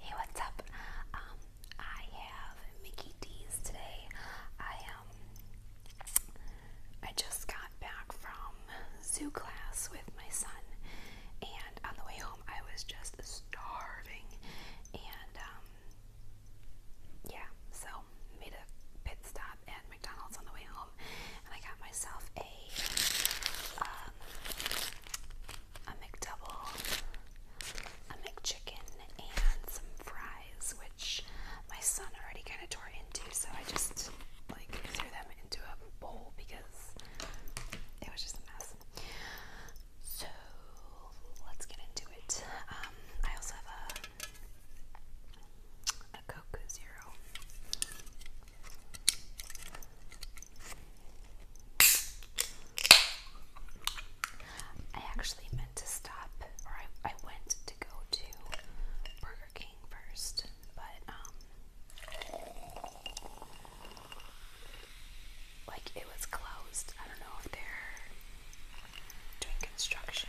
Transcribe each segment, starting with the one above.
Hey, what's up? Um, I have Mickey D's today. I um, I just got back from zoo class with my son, and on the way home, I was just starving, and um, yeah, so made a pit stop at McDonald's on the way home, and I got myself a um, a McDouble, a McChicken, and some fries, which my son already kind of tore into, so I just like threw them into a bowl because it was just a mess. So let's get into it. Um, I also have a a Coke Zero. I actually meant to stop, or I, I went to go to Burger King first, but um, like it was closed. I don't know if they're doing construction.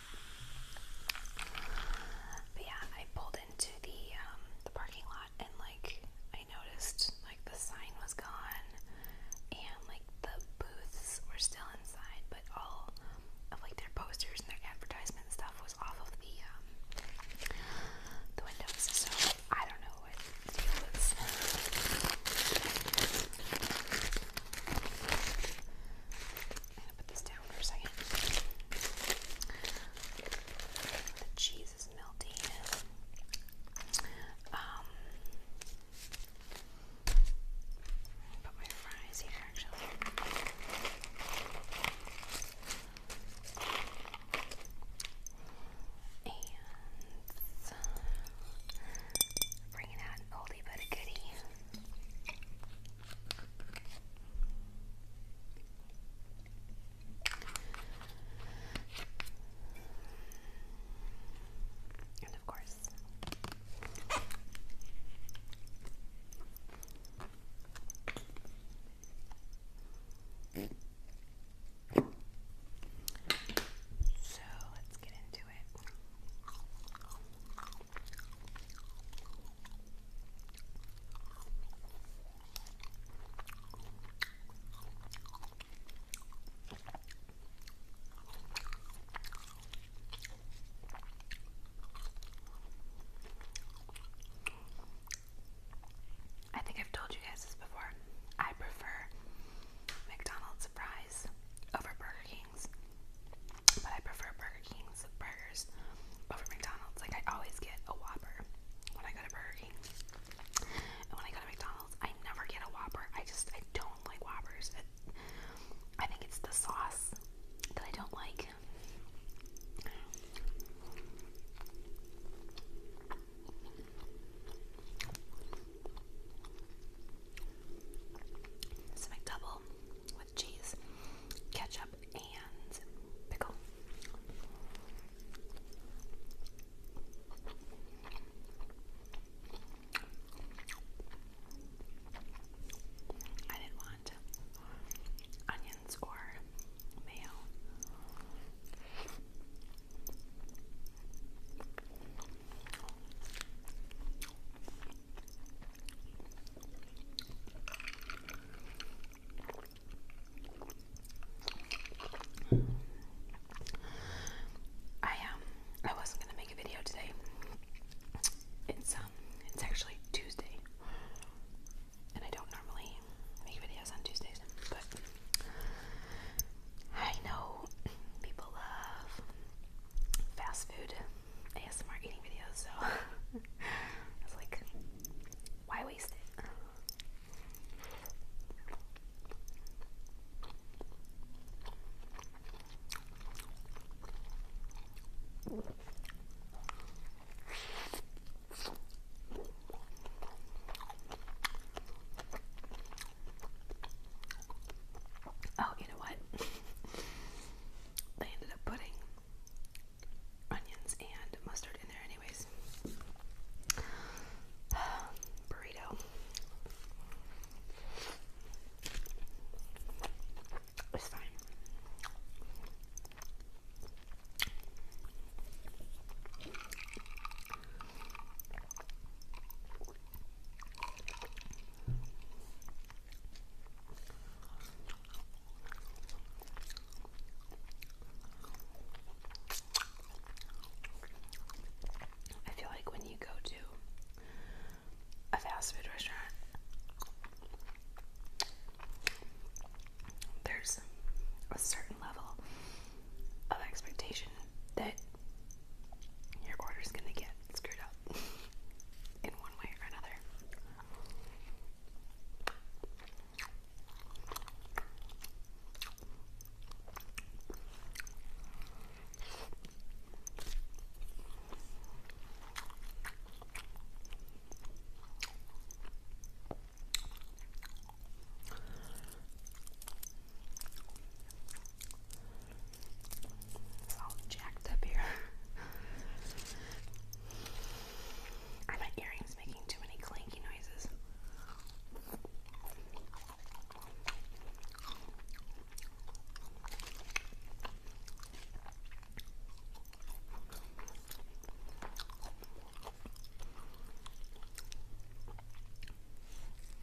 But yeah, I pulled into the um, the parking lot and like I noticed like the sign was gone and like the booths were still inside, but all of like their posters and their advertisement stuff was off of the um, the windows. So I don't know what's. the deal I'm gonna put this down for a second. The cheese is melting. Um, put my fries here actually. And uh, bring it out an oldie but a goodie. And of course, so I think I've told you guys this before. I prefer McDonald's fries over Burger King's, but I prefer Burger King's burgers over McDonald's. Like, I always get a Whopper when I go to Burger King. And when I go to McDonald's, I never get a Whopper. I just, I don't like Whoppers. I think it's the sauce that I don't like. This is my double with cheese, ketchup, and pickle. I didn't want onions or mayo. I um I wasn't gonna make a video today. It's um it's actually Tuesday. And I don't normally make videos on Tuesdays, but I know people love fast food ASMR eating videos, so I was like, why waste it? Oh, you know what? they ended up putting onions and mustard in there, anyways. Burrito. It's fine. I feel like when you go to a fast food restaurant, there's a certain level of expectation that your order is gonna get screwed up in one way or another. It's all jacked up here. Are my earrings making too many clanky noises?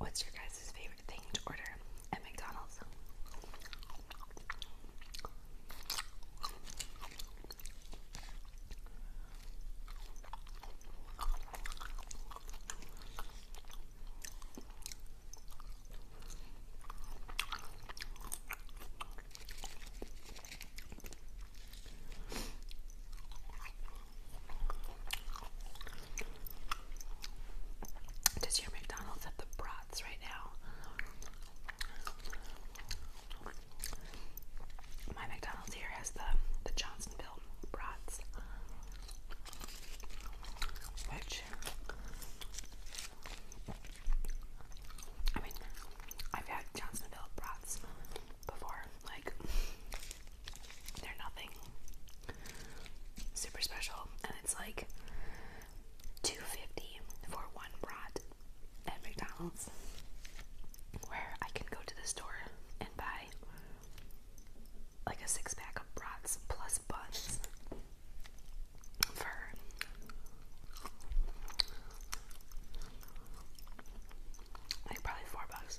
What's your guys' favorite favorite thing to order at McDonald's. Does your McDonald's have the brats right now? My McDonald's here has the the Johnsonville brats, which I mean, I've had Johnsonville brats before. Like, they're nothing Super special, and it's like two fifty for one brat at McDonald's, where I can go to the store and buy like a six pack of brats plus buns for like probably four bucks.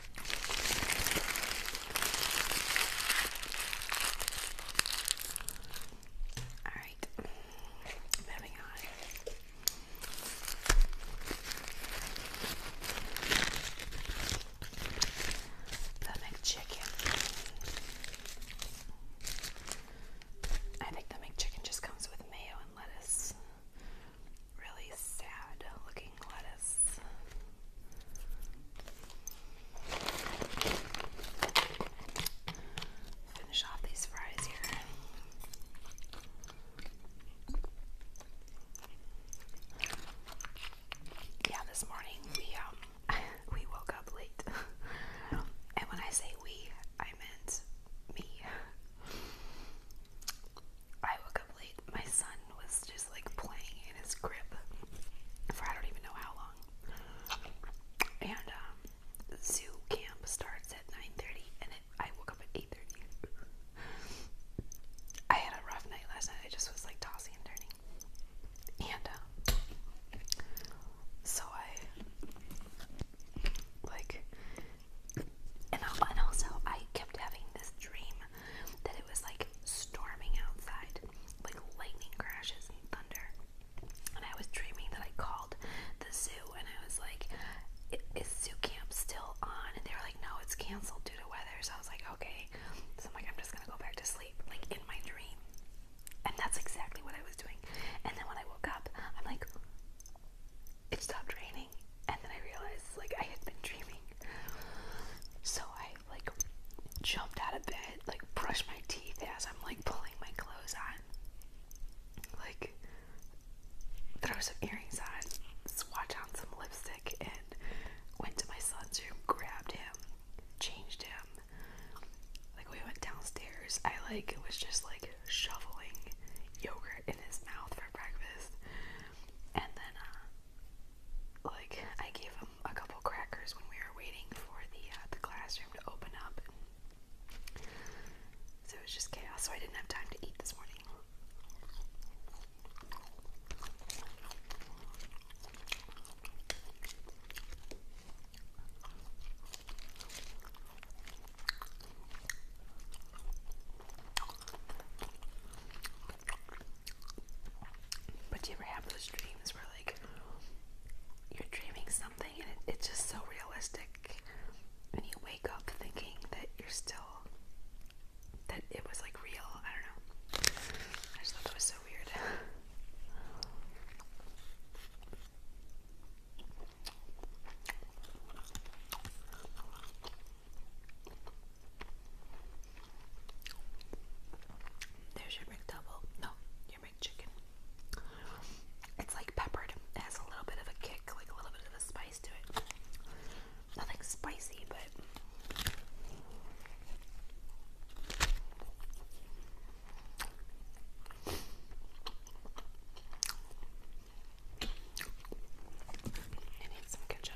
All right, moving on. The McChicken. I think the McChicken just comes with mayo and lettuce really sad looking lettuce. Finish off these fries here. Yeah, this morning we um, we woke up late. and when I say we, I meant me. I woke up late. My son was just like playing in his crib for I don't even know how long. And um, zoo camp starts at 9:30, and I woke up at 8:30. I had a rough night last night. I just was like tossing and turning, and um, so I like, and, and also I kept having this dream that it was like storming outside, like lightning crashes and thunder. And I was dreaming that I called the zoo and I was like, is zoo camp still on? And they were like, no, it's canceled due to weather. So I was like, okay. So I'm like, I'm just gonna go back to sleep, like in my dream. And that's exactly what I was doing. And then when I woke up, I'm like, it stopped raining and then I realized like I had been dreaming. So I like jumped out of bed, like brushed my teeth as I'm like pulling my clothes on. Like throw some earrings on, swatch on some lipstick and went to my son's room, grabbed him, changed him. Like we went downstairs. I like was just like shoveling yogurt in his mouth for breakfast. And then uh, like I gave him a couple crackers when we were waiting for the uh, the classroom to open up. so it was just chaos. So I didn't have time to eat this morning. But do you ever have those dreams where like you're dreaming something and it's just so realistic, and you wake up thinking that you're still that it was like real? I don't know. I just thought that was so weird. There's your McDouble. No, your McChicken. It's like peppered. It has a little bit of a kick, like a little bit of a spice to it. Nothing spicy, but. I need some ketchup.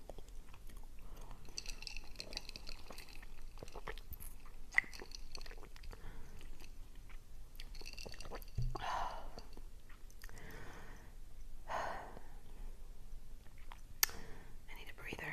I need a breather.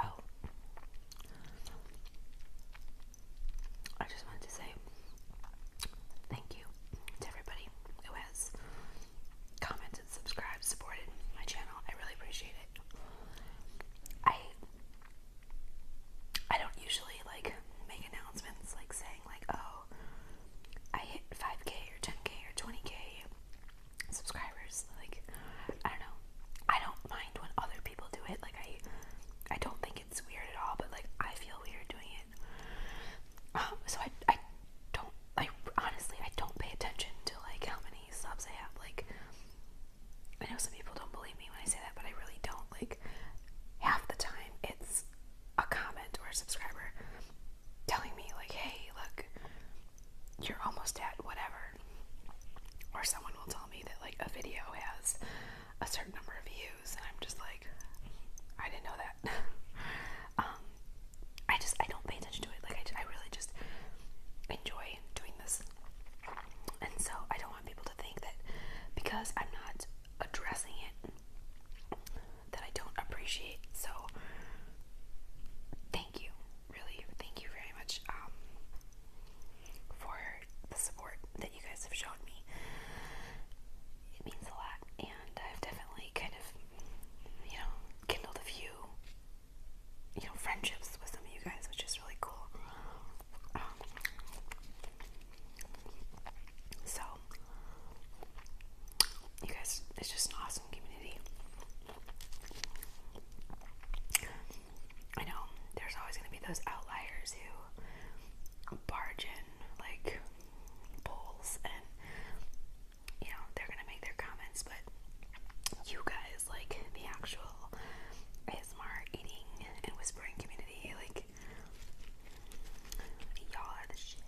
Oh, I just wanted to say thank you to everybody who has commented, subscribed, supported my channel. I really appreciate it. I I don't usually like make announcements like saying like, oh, I hit 5k or 10k or 20k subscribers. Like, I don't know. I don't mind when other people do it. Like I I don't think it's weird at all, but like I feel weird doing it. Um, so I, I don't, I honestly, I don't pay attention to like how many subs I have. Like, I know some people don't believe me when I say that, but I really don't. Like, half the time it's a comment or a subscriber telling me like, hey, look, you're almost at whatever. Or someone will tell me that like a video has a certain number of views, and I'm just like, I didn't know that. Um, I just I don't pay attention to it. Like I, I really just enjoy doing this, and so I don't want people to think that because I'm not addressing it that I don't appreciate. So thank you, really, thank you very much um, for the support that you guys have shown me. It means a lot, I've definitely kind of, you know, kindled a few, you know, friendships with some of you guys, which is really cool. so, you guys, it's just an awesome community. I know there's always going to be those outliers who barge in like bulls and you know, they're gonna make their comments, but you guys, like the actual ASMR eating and whispering community, like y'all are the shit.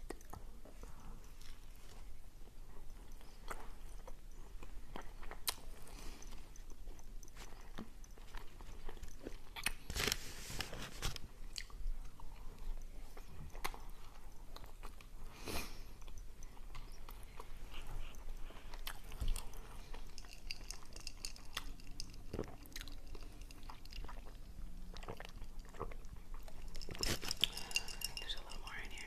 There's a little more in here.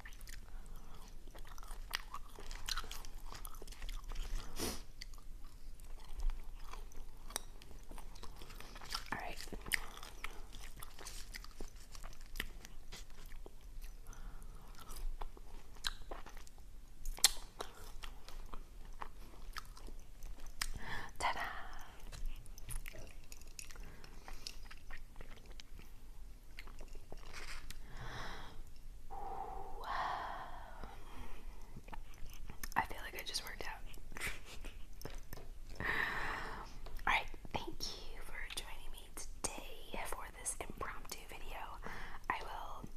All right. Ta-da! I feel like I just worked out. Alright, thank you for joining me today for this impromptu video. I will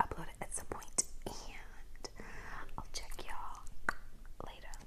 upload it at some point and I'll check y'all later.